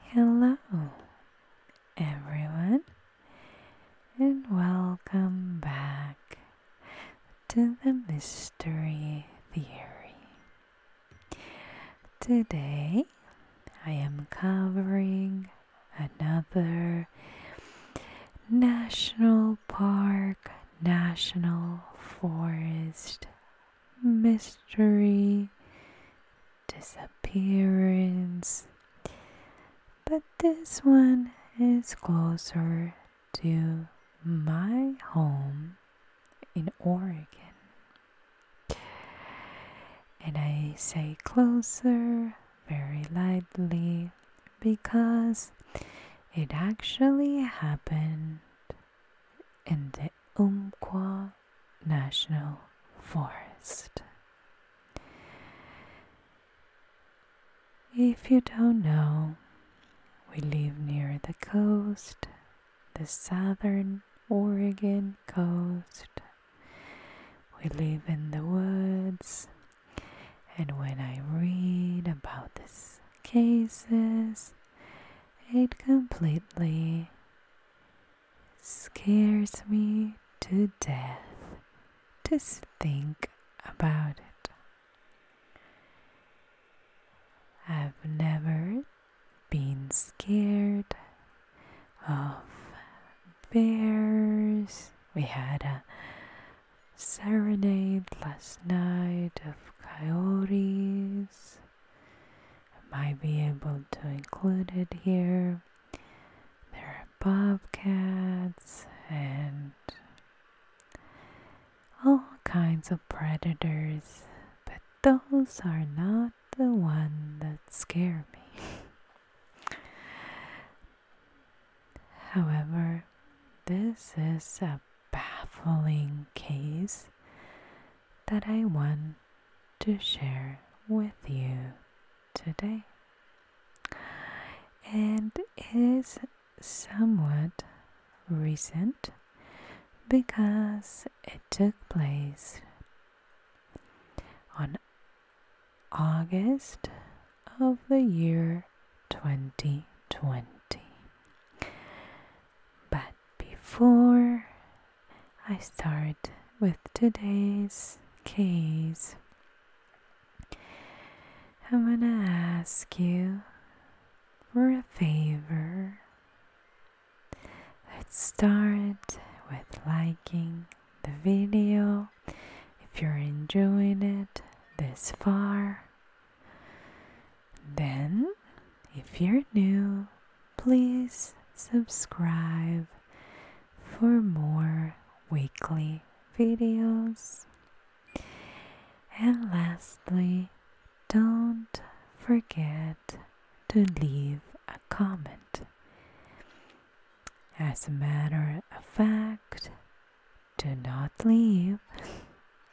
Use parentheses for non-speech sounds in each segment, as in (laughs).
Hello, everyone, and welcome back to the Mystery Theory. Today, I am covering another National Park, National Forest mystery disappearance. But this one is closer to my home in Oregon. And I say closer very lightly because it actually happened in the Umpqua National Forest. If you don't know, we live near the coast, the southern Oregon coast. We live in the woods, and when I read about these cases, it completely scares me to death to think about it. I've never been scared of bears. We had a serenade last night of coyotes. I might be able to include it here. There are bobcats and all kinds of predators, but those are not the one that scare me. (laughs) However, this is a baffling case that I want to share with you today. And is somewhat recent because it took place on August of the year 2020. But before I start with today's case. I'm going to ask you for a favor. Let's start with liking the video if you're enjoying it this far. Then, if you're new, please subscribe for more weekly videos. And lastly, don't forget to leave a comment. As a matter of fact, do not leave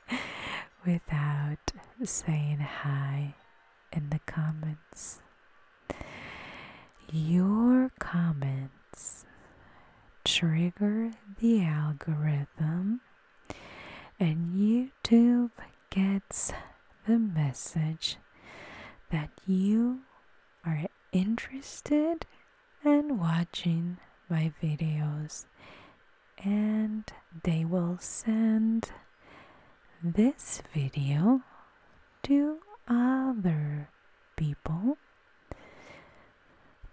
(laughs) without saying hi in the comments. Your comments trigger the algorithm, and YouTube gets the message that you are interested in watching my videos, and they will send this video to other people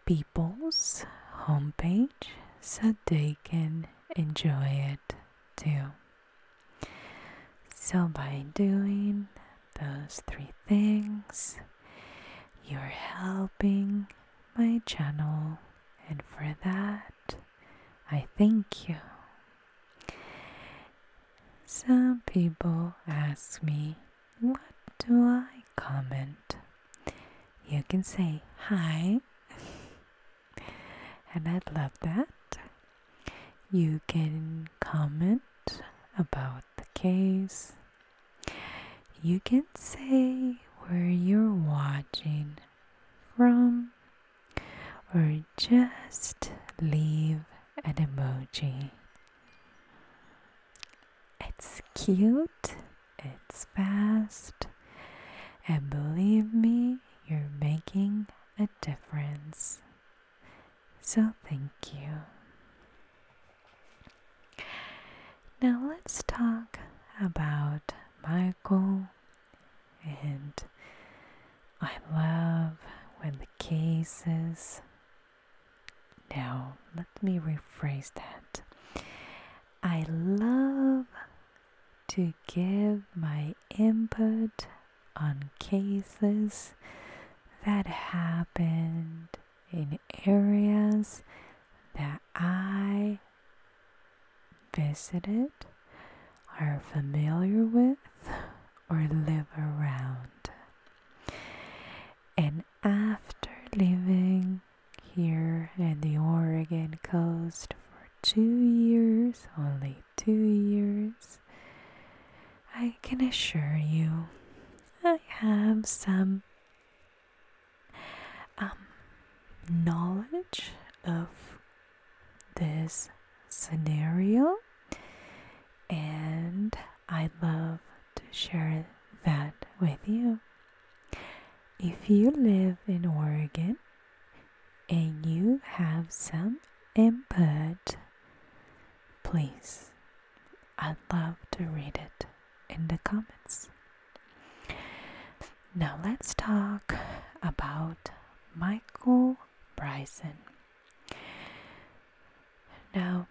people's homepage so they can enjoy it too. So, by doing those three things, you're helping my channel, and for that, I thank you. Some people ask me, What do I comment? You can say, Hi. (laughs) and I'd love that. You can comment about the case. You can say where you're watching from or just leave an emoji. It's cute, it's fast, and believe me, you're making a difference. So thank you. Now let's talk about Michael and I love when the cases. Now, let me rephrase that. I love to give my input on cases that happened in areas that I visited, are familiar with, or live around. And after living here in the Oregon coast for two years, only two years, I can assure you I have some um, knowledge of this scenario, and I'd love to share that with you. If you live in Oregon and you have some input, please, I'd love to read it in the comments. Now let's talk about Michael Bryson. Now,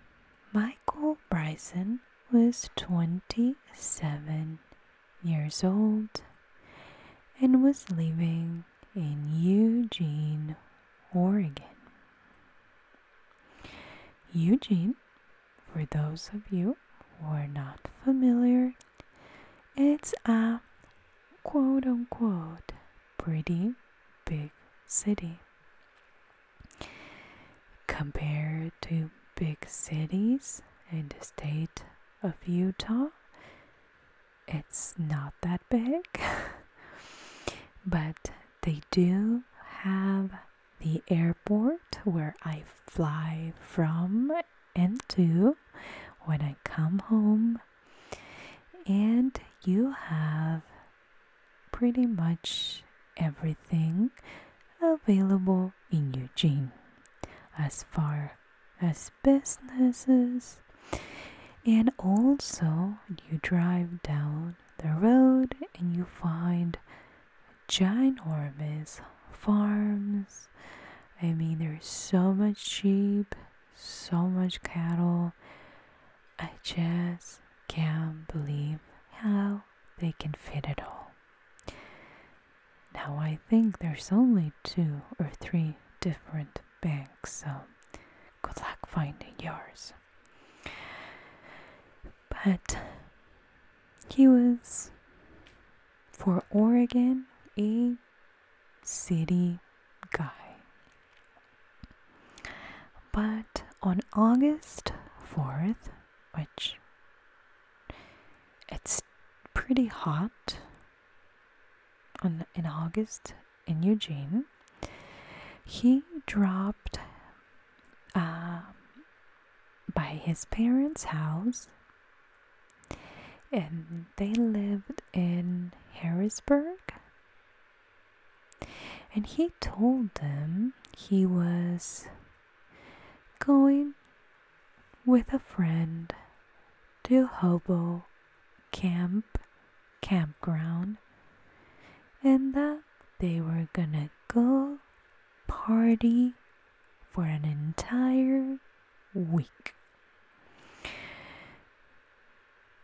Michael Bryson was 27 years old and was living in Eugene, Oregon. Eugene, for those of you who are not familiar, it's a quote unquote pretty big city. Compared to big cities in the state of Utah, it's not that big, (laughs) but they do have the airport where I fly from and to when I come home and you have pretty much everything available in Eugene as far as businesses and also you drive down the road and you find ginormous farms i mean there's so much sheep so much cattle. I just can't believe how they can fit it all. Now I think there's only two or three different banks, so good luck finding yours. But he was for Oregon, he city guy. But on August 4th, which it's pretty hot on, in August in Eugene, he dropped uh, by his parents' house and they lived in Harrisburg. And he told them he was going with a friend to Hobo Camp Campground and that they were gonna go party for an entire week.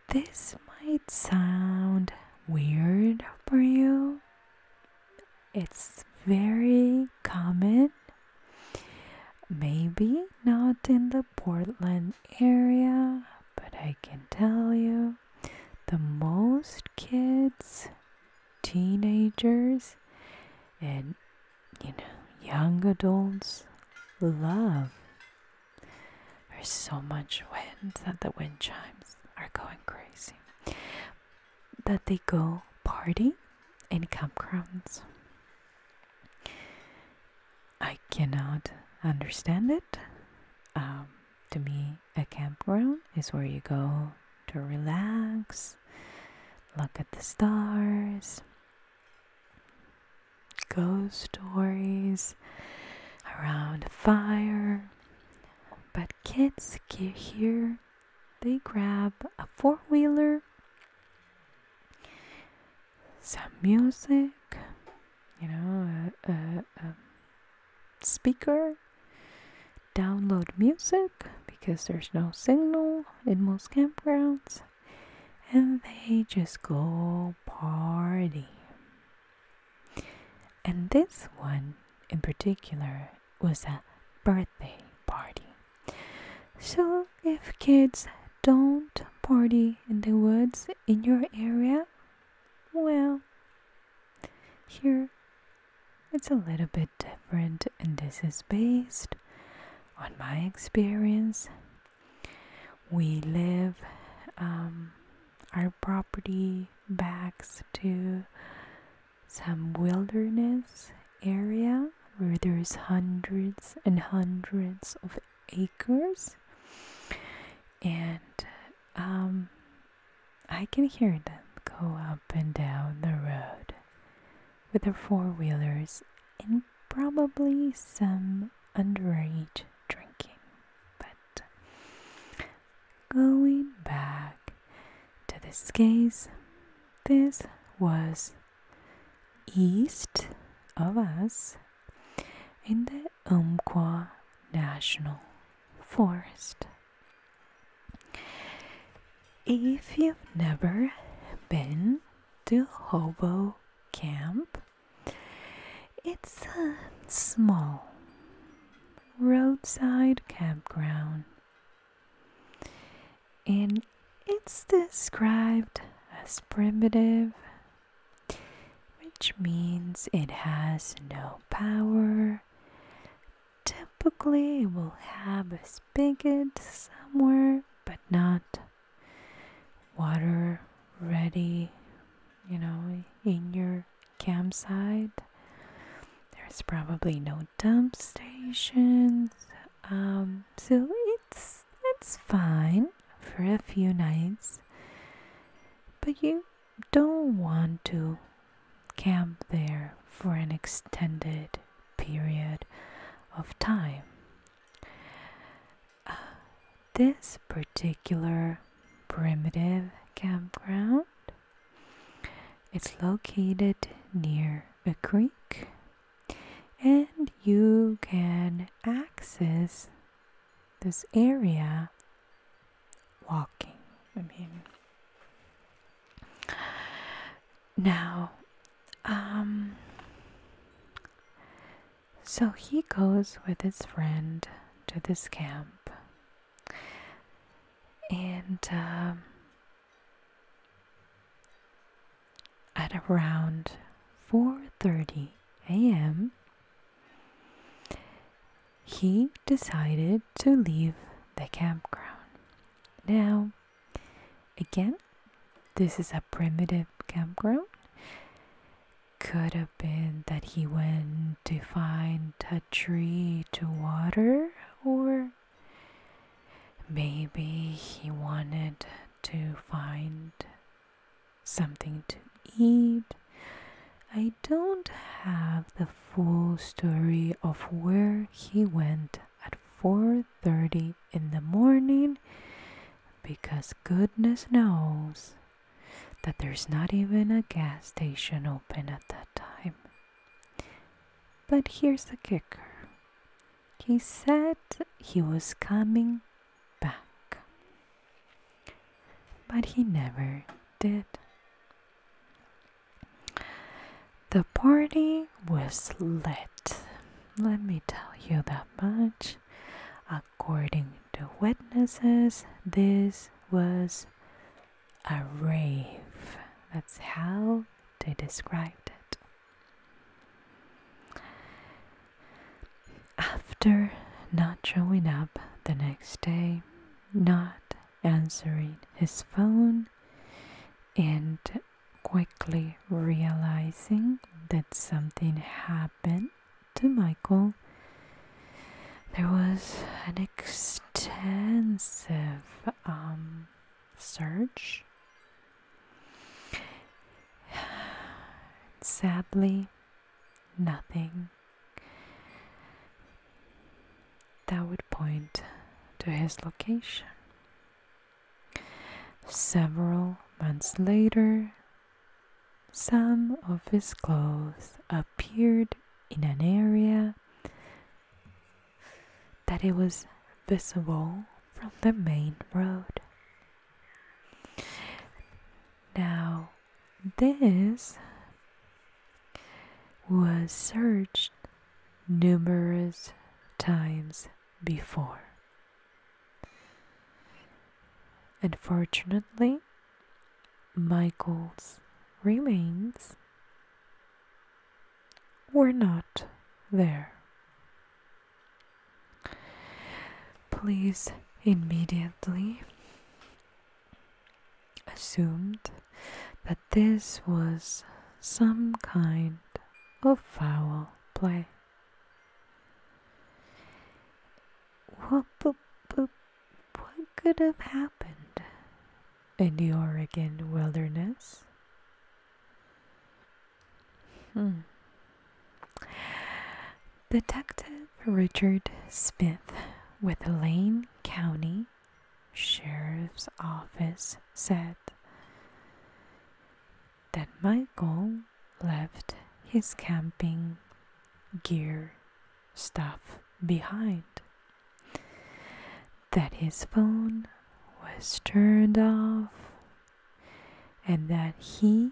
This might sound weird for you. It's very common. Maybe not in the Portland area, but I can tell you the most kids, teenagers, and you know, young adults love. There's so much wind that the wind chimes are going crazy that they go party in campgrounds. I cannot understand it. Um, to me, a campground is where you go to relax, look at the stars, ghost stories around a fire. But kids get here, they grab a four wheeler, some music, you know, a speaker, download music because there's no signal in most campgrounds and they just go party. And this one in particular was a birthday party. So if kids don't party in the woods in your area, well, here it's a little bit different, and this is based on my experience we live um, our property backs to some wilderness area where there's hundreds and hundreds of acres and um, I can hear them go up and down the road with their four wheelers and probably some underage drinking. But going back to this case, this was east of us in the Umpqua National Forest. If you've never been to Hobo camp. It's a small roadside campground and it's described as primitive, which means it has no power. Typically, it will have a spigot somewhere, but not water ready, you know, in your campsite. There's probably no dump stations. Um, so it's it's fine for a few nights. But you don't want to camp there for an extended period of time this particular primitive campground it's located near a creek and you can access this area walking i mean now, um, so he goes with his friend to this camp, and um, at around four thirty a.m., he decided to leave the campground. Now, Again, this is a primitive campground. Could have been that he went to find a tree to water, or maybe he wanted to find something to eat. I don't have the full story of where he went at 4:30 in the morning because goodness knows that there's not even a gas station open at that time. But here's the kicker he said he was coming back, but he never did. The party I was led, let me tell you that much. According to witnesses, this was a rave. That's how they described it. After not showing up the next day, not answering his phone, and quickly realizing that something happened to Michael, there was an extensive um, search. (sighs) Sadly, nothing that would point to his location. Several months later, some of his clothes appeared in an area that it was visible from the main road. Now, this was searched numerous times before. Unfortunately, my goals remains were not there. Please immediately assumed that this was some kind of foul play. What, but, but, what could have happened in the Oregon wilderness? Hmm. Detective Richard Smith with Lane County Sheriff's Office said that Michael left his camping gear stuff behind, that his phone was turned off, and that he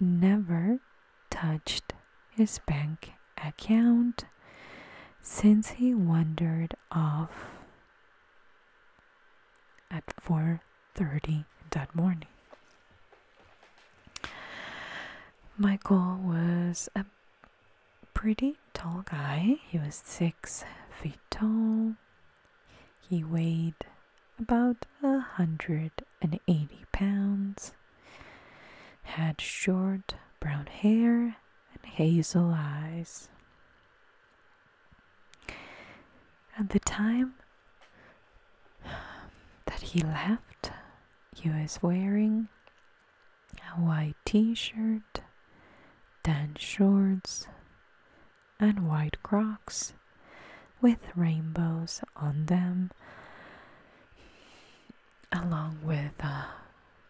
never touched his bank account since he wandered off at 4:30 that morning. Michael was a pretty tall guy. He was 6 feet tall. He weighed about a 180 pounds. Had short brown hair and hazel eyes. At the time that he left, he was wearing a white t shirt, tan shorts, and white crocs with rainbows on them, along with a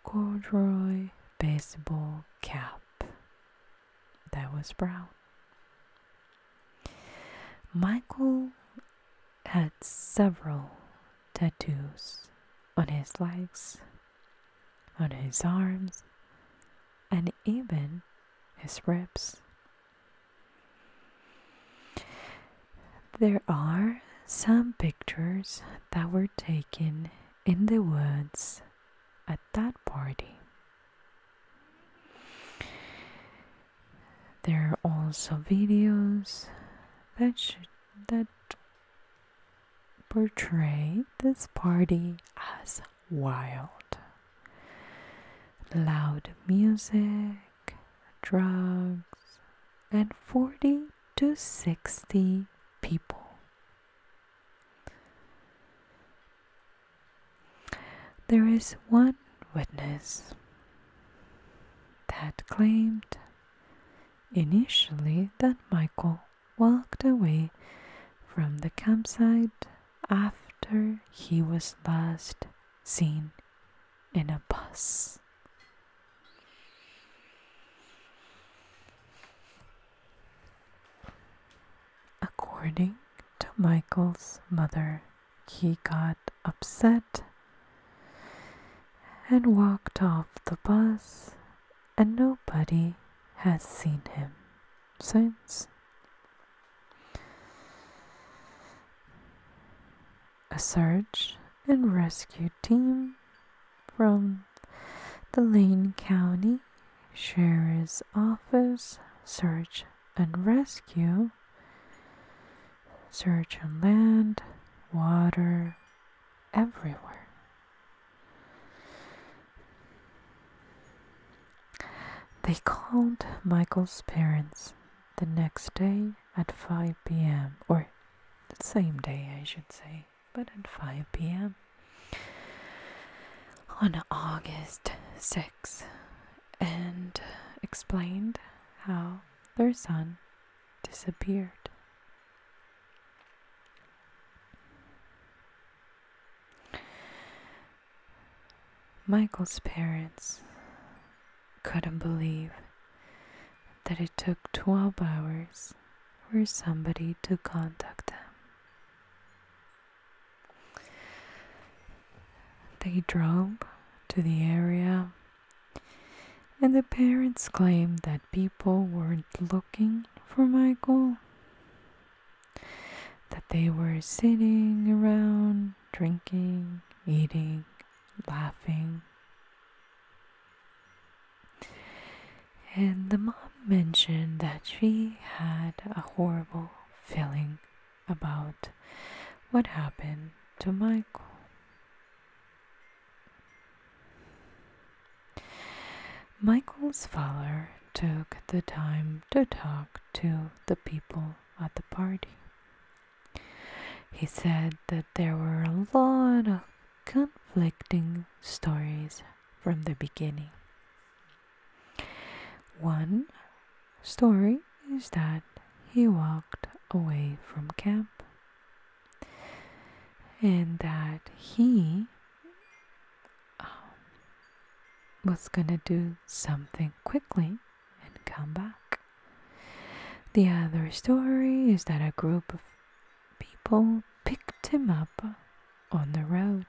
corduroy baseball cap that was brown. Michael had several tattoos on his legs, on his arms, and even his ribs. There are some pictures that were taken in the woods at that party. There are also videos that that portray this party as wild. Loud music, drugs, and 40 to 60 people. There is one witness that claimed initially that Michael walked away from the campsite after he was last seen in a bus. According to Michael's mother, he got upset and walked off the bus, and nobody has seen him since. A search and rescue team from the Lane County Sheriff's Office Search and Rescue, search on land, water, everywhere. They called Michael's parents the next day at 5 p.m., or the same day, I should say but at 5 p.m. on August 6 and explained how their son disappeared. Michael's parents couldn't believe that it took 12 hours for somebody to contact them. They drove to the area, and the parents claimed that people weren't looking for Michael, that they were sitting around drinking, eating, laughing. And the mom mentioned that she had a horrible feeling about what happened to Michael. Michael's father took the time to talk to the people at the party. He said that there were a lot of conflicting stories from the beginning. One story is that he walked away from camp and that he um, was gonna do something quickly and come back. The other story is that a group of people picked him up on the road.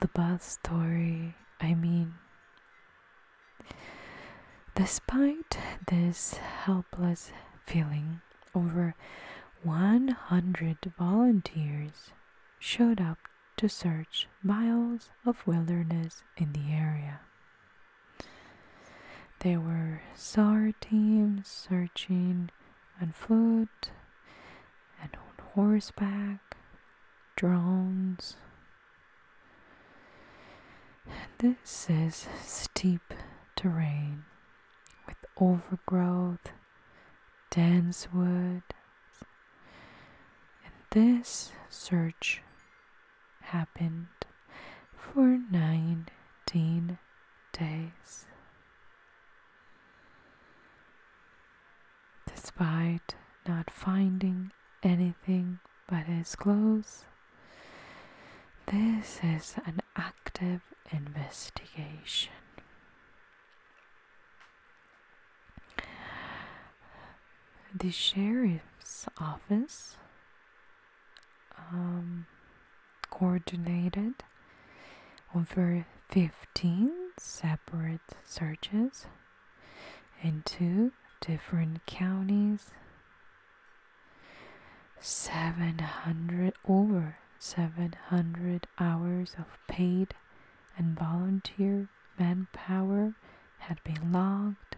The bus story, I mean. Despite this helpless feeling, over 100 volunteers showed up to search miles of wilderness in the area. There were SAR teams searching on foot and on horseback, drones. this is steep terrain with overgrowth, dense wood. And this search happened for 19 days. Despite not finding anything but his clothes, this is an active investigation. The sheriff's office um, coordinated over 15 separate searches in two different counties 700 over 700 hours of paid and volunteer manpower had been logged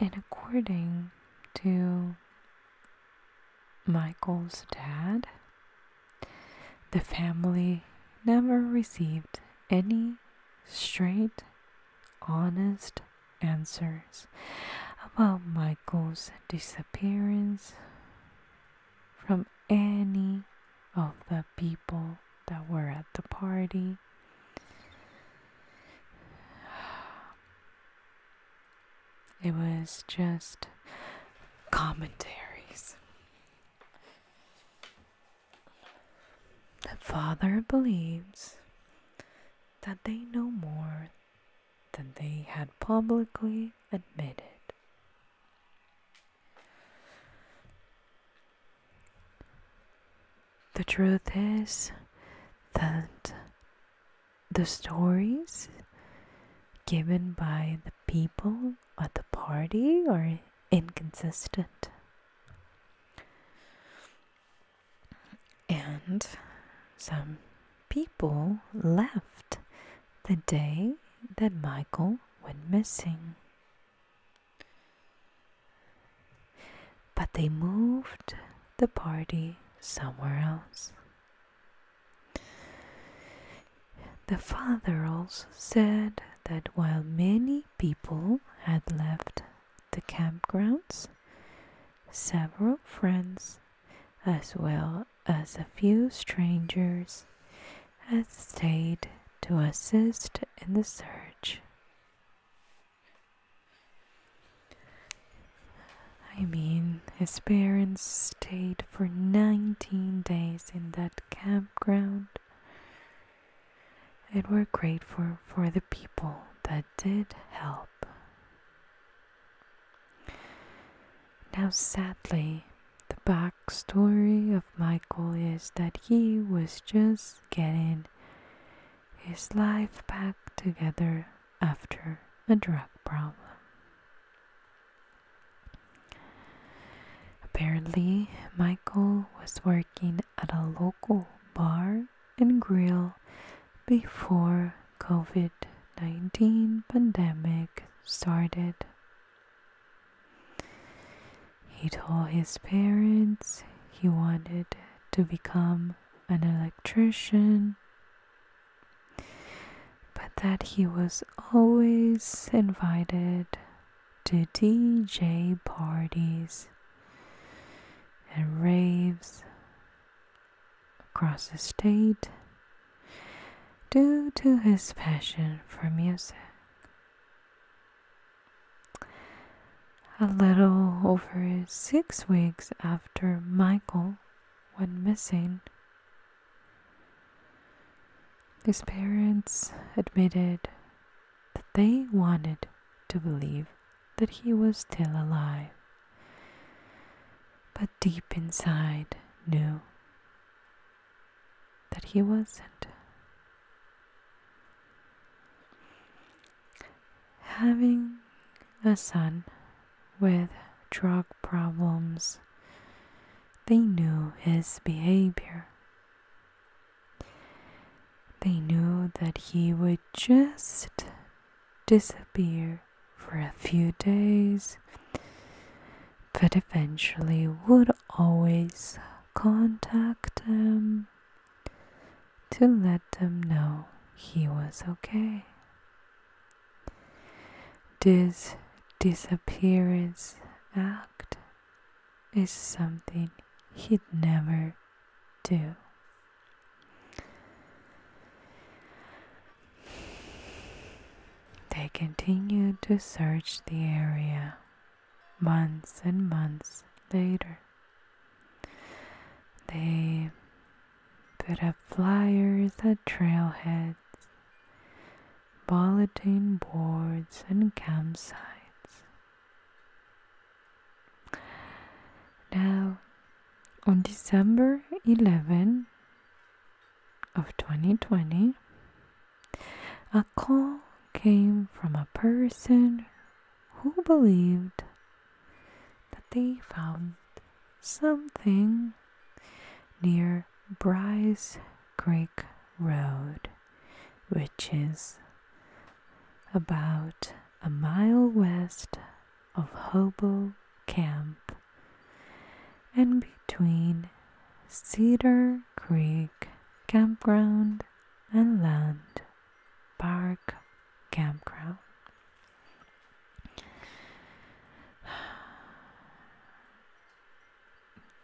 and according to Michael's dad, the family never received any straight, honest answers about Michael's disappearance from any of the people that were at the party. It was just commentaries. The Father believes that they know more than they had publicly admitted. The truth is that the stories given by the people at the party are inconsistent. And some people left the day that Michael went missing. But they moved the party somewhere else. The father also said that while many people had left the campgrounds, several friends, as well as a few strangers, had stayed to assist in the search. I mean, his parents stayed for 19 days in that campground and were grateful for the people that did help. Now, sadly, the backstory of Michael is that he was just getting his life back together after a drug problem. Apparently, Michael was working at a local bar and grill before COVID-19 pandemic started. He told his parents he wanted to become an electrician, but that he was always invited to DJ parties and raves across the state due to his passion for music. A little over six weeks after Michael went missing, his parents admitted that they wanted to believe that he was still alive, but deep inside knew that he wasn't having a son with drug problems, they knew his behavior. They knew that he would just disappear for a few days, but eventually would always contact them to let them know he was okay. This disappearance act is something he'd never do. They continued to search the area months and months later. They put up flyers at trailheads, bulletin boards, and campsites. Now, on December 11 of 2020, a call came from a person who believed that they found something near Bryce Creek Road, which is about a mile west of Hobo Camp and between Cedar Creek Campground and Land Park Campground.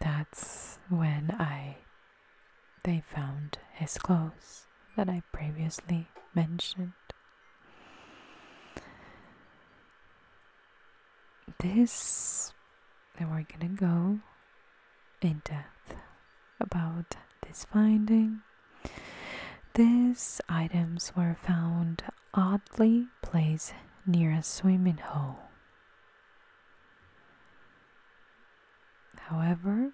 That's when I they found his clothes that I previously mentioned. This then we're gonna go in depth about this finding. These items were found oddly placed near a swimming hole. However,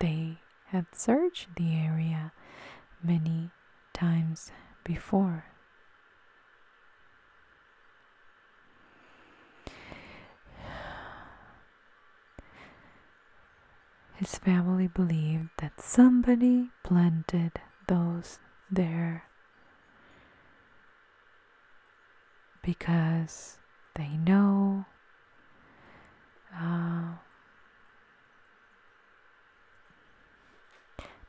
they had searched the area many times before. His family believed that somebody planted those there because they know uh,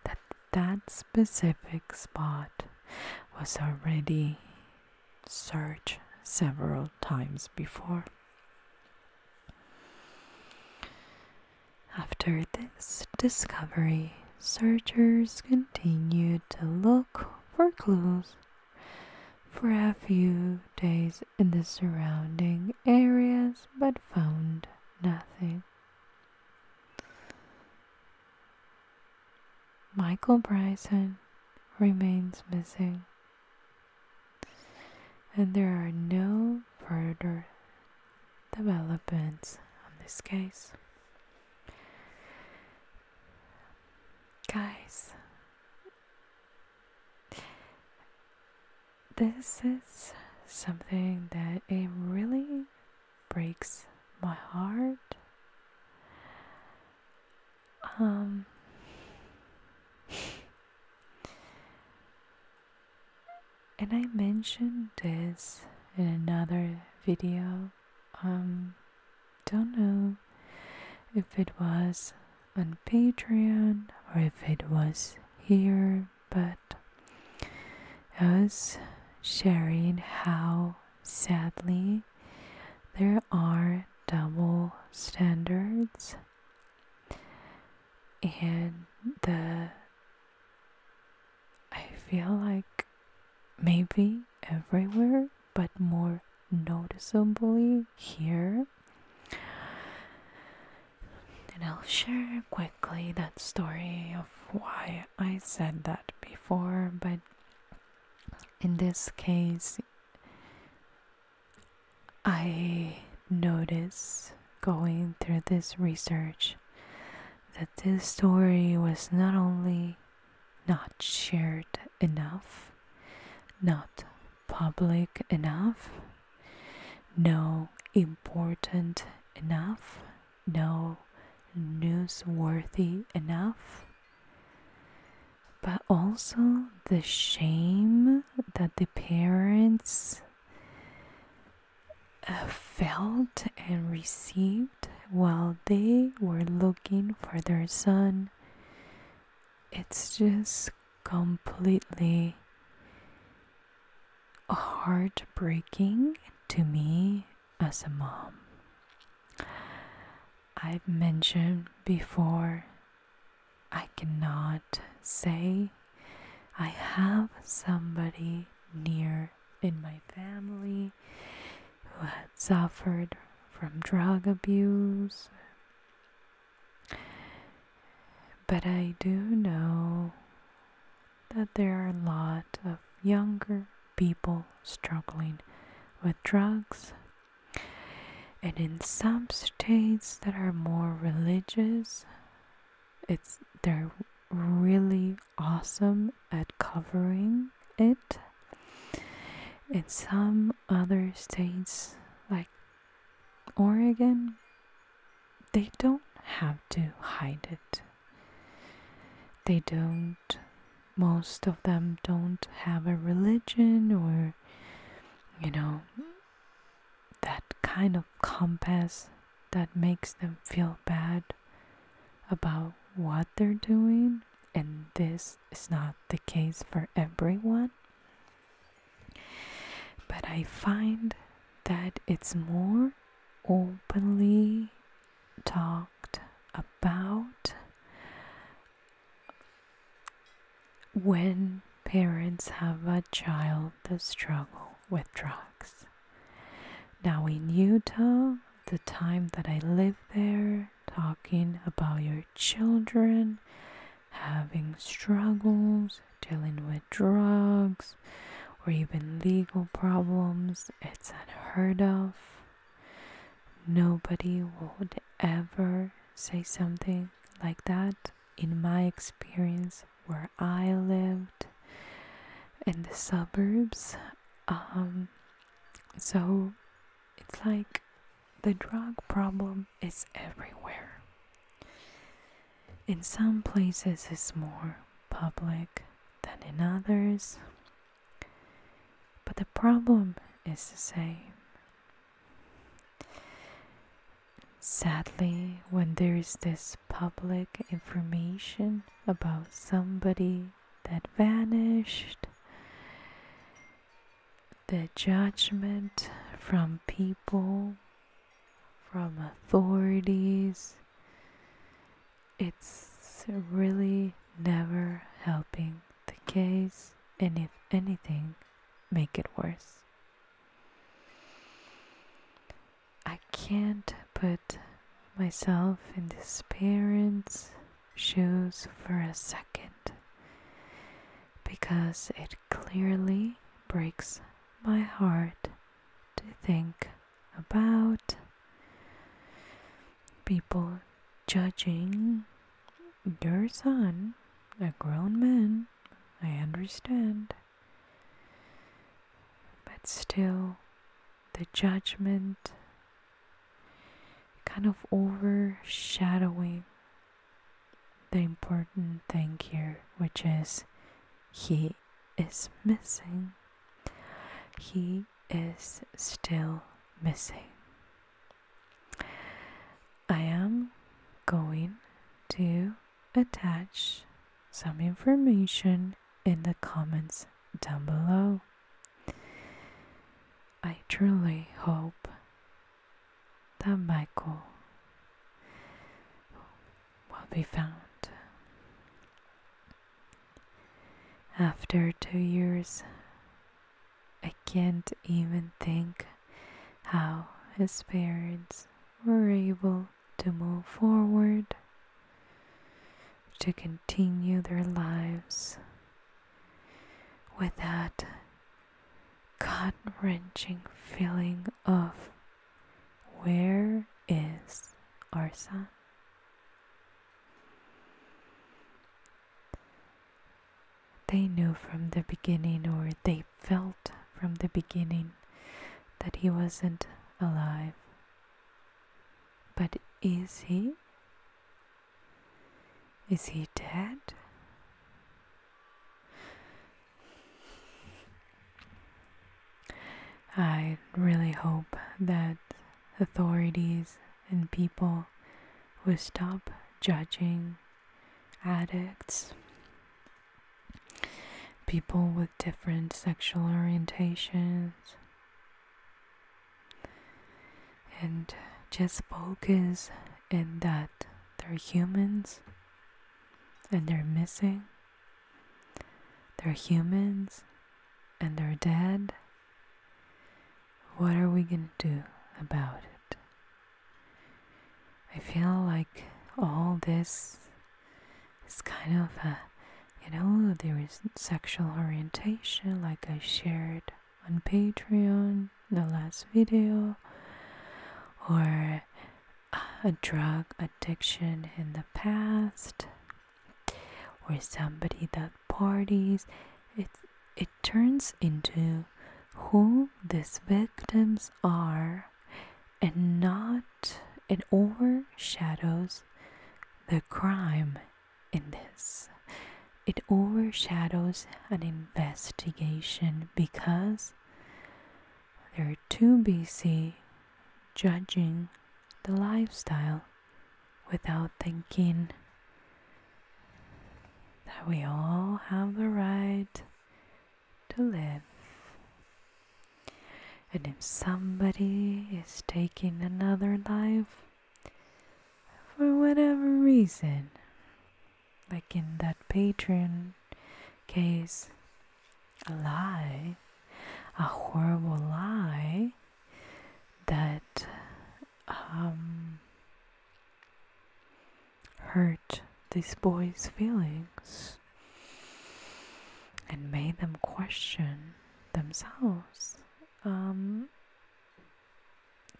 that that specific spot was already search several times before. After this discovery, searchers continued to look for clues for a few days in the surrounding areas but found nothing. Michael Bryson remains missing and there are no further developments on this case. Guys, this is something that it really breaks my heart um, and I mentioned this in another video. Um, don't know if it was on Patreon or if it was here, but us was sharing how sadly there are double standards and the I feel like maybe everywhere but more noticeably here and I'll share quickly that story of why I said that before but in this case I noticed going through this research that this story was not only not shared enough, not public enough, no important enough, no newsworthy enough, but also the shame that the parents uh, felt and received while they were looking for their son. It's just completely heartbreaking to me as a mom. I've mentioned before I cannot say I have somebody near in my family who had suffered from drug abuse. But I do know that there are a lot of younger people struggling with drugs and in some states that are more religious, it's they're really awesome at covering it. In some other states like Oregon, they don't have to hide it. They don't most of them don't have a religion or you know that kind of compass that makes them feel bad about what they're doing and this is not the case for everyone but i find that it's more openly talked about when parents have a child that struggle with drugs. Now in Utah, the time that I lived there, talking about your children having struggles, dealing with drugs, or even legal problems, it's unheard of. Nobody would ever say something like that in my experience where I lived in the suburbs. Um, so it's like the drug problem is everywhere. In some places, it's more public than in others, but the problem is the same Sadly, when there is this public information about somebody that vanished, the judgment from people, from authorities, it's really never helping the case, and if anything, make it worse. I can't put myself in this parent's shoes for a second because it clearly breaks my heart to think about people judging your son, a grown man, I understand. But still, the judgment kind of overshadowing the important thing here, which is he is missing. He is still missing. I am going to attach some information in the comments down below. I truly hope that Michael will be found. After two years I can't even think how his parents were able to move forward, to continue their lives without that gut wrenching feeling of where is our son? They knew from the beginning, or they felt from the beginning, that he wasn't alive. But is he? Is he dead? I really hope that authorities and people will stop judging addicts, people with different sexual orientations, and just focus in that they're humans and they're missing. They're humans and they're dead what are we going to do about it? I feel like all this is kind of a, you know, there is sexual orientation, like I shared on Patreon the last video, or a drug addiction in the past, or somebody that parties. It's it turns into who these victims are and not it overshadows the crime in this it overshadows an investigation because they're too busy judging the lifestyle without thinking that we all have the right to live. And if somebody is taking another life for whatever reason, like in that patron case, a lie, a horrible lie that um, hurt this boy's feelings and made them question themselves. Um,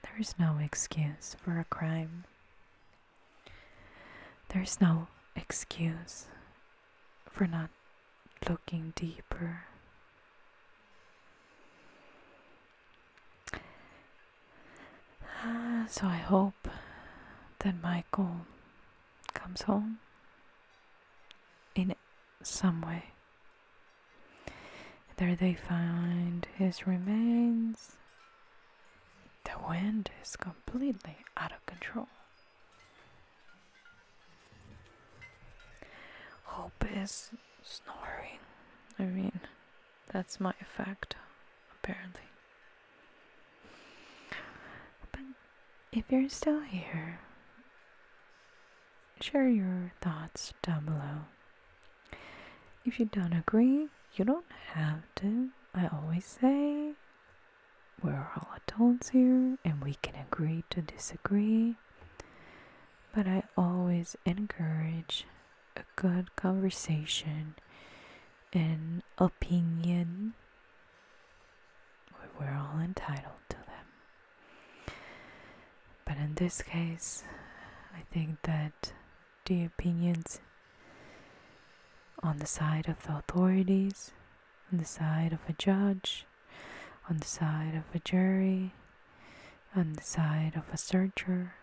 there is no excuse for a crime. There is no excuse for not looking deeper. (sighs) so I hope that Michael comes home in some way. There they find his remains. The wind is completely out of control. Hope is snoring. I mean, that's my effect, apparently. But if you're still here, share your thoughts down below. If you don't agree, you don't have to. I always say we're all adults here and we can agree to disagree. But I always encourage a good conversation an opinion. We're all entitled to them. But in this case, I think that the opinions on the side of the authorities, on the side of a judge, on the side of a jury, on the side of a searcher,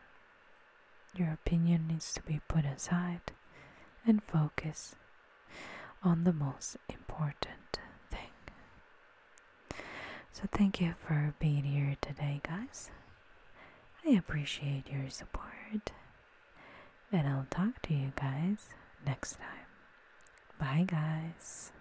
your opinion needs to be put aside and focus on the most important thing. So, thank you for being here today, guys. I appreciate your support, and I'll talk to you guys next time. Bye, guys.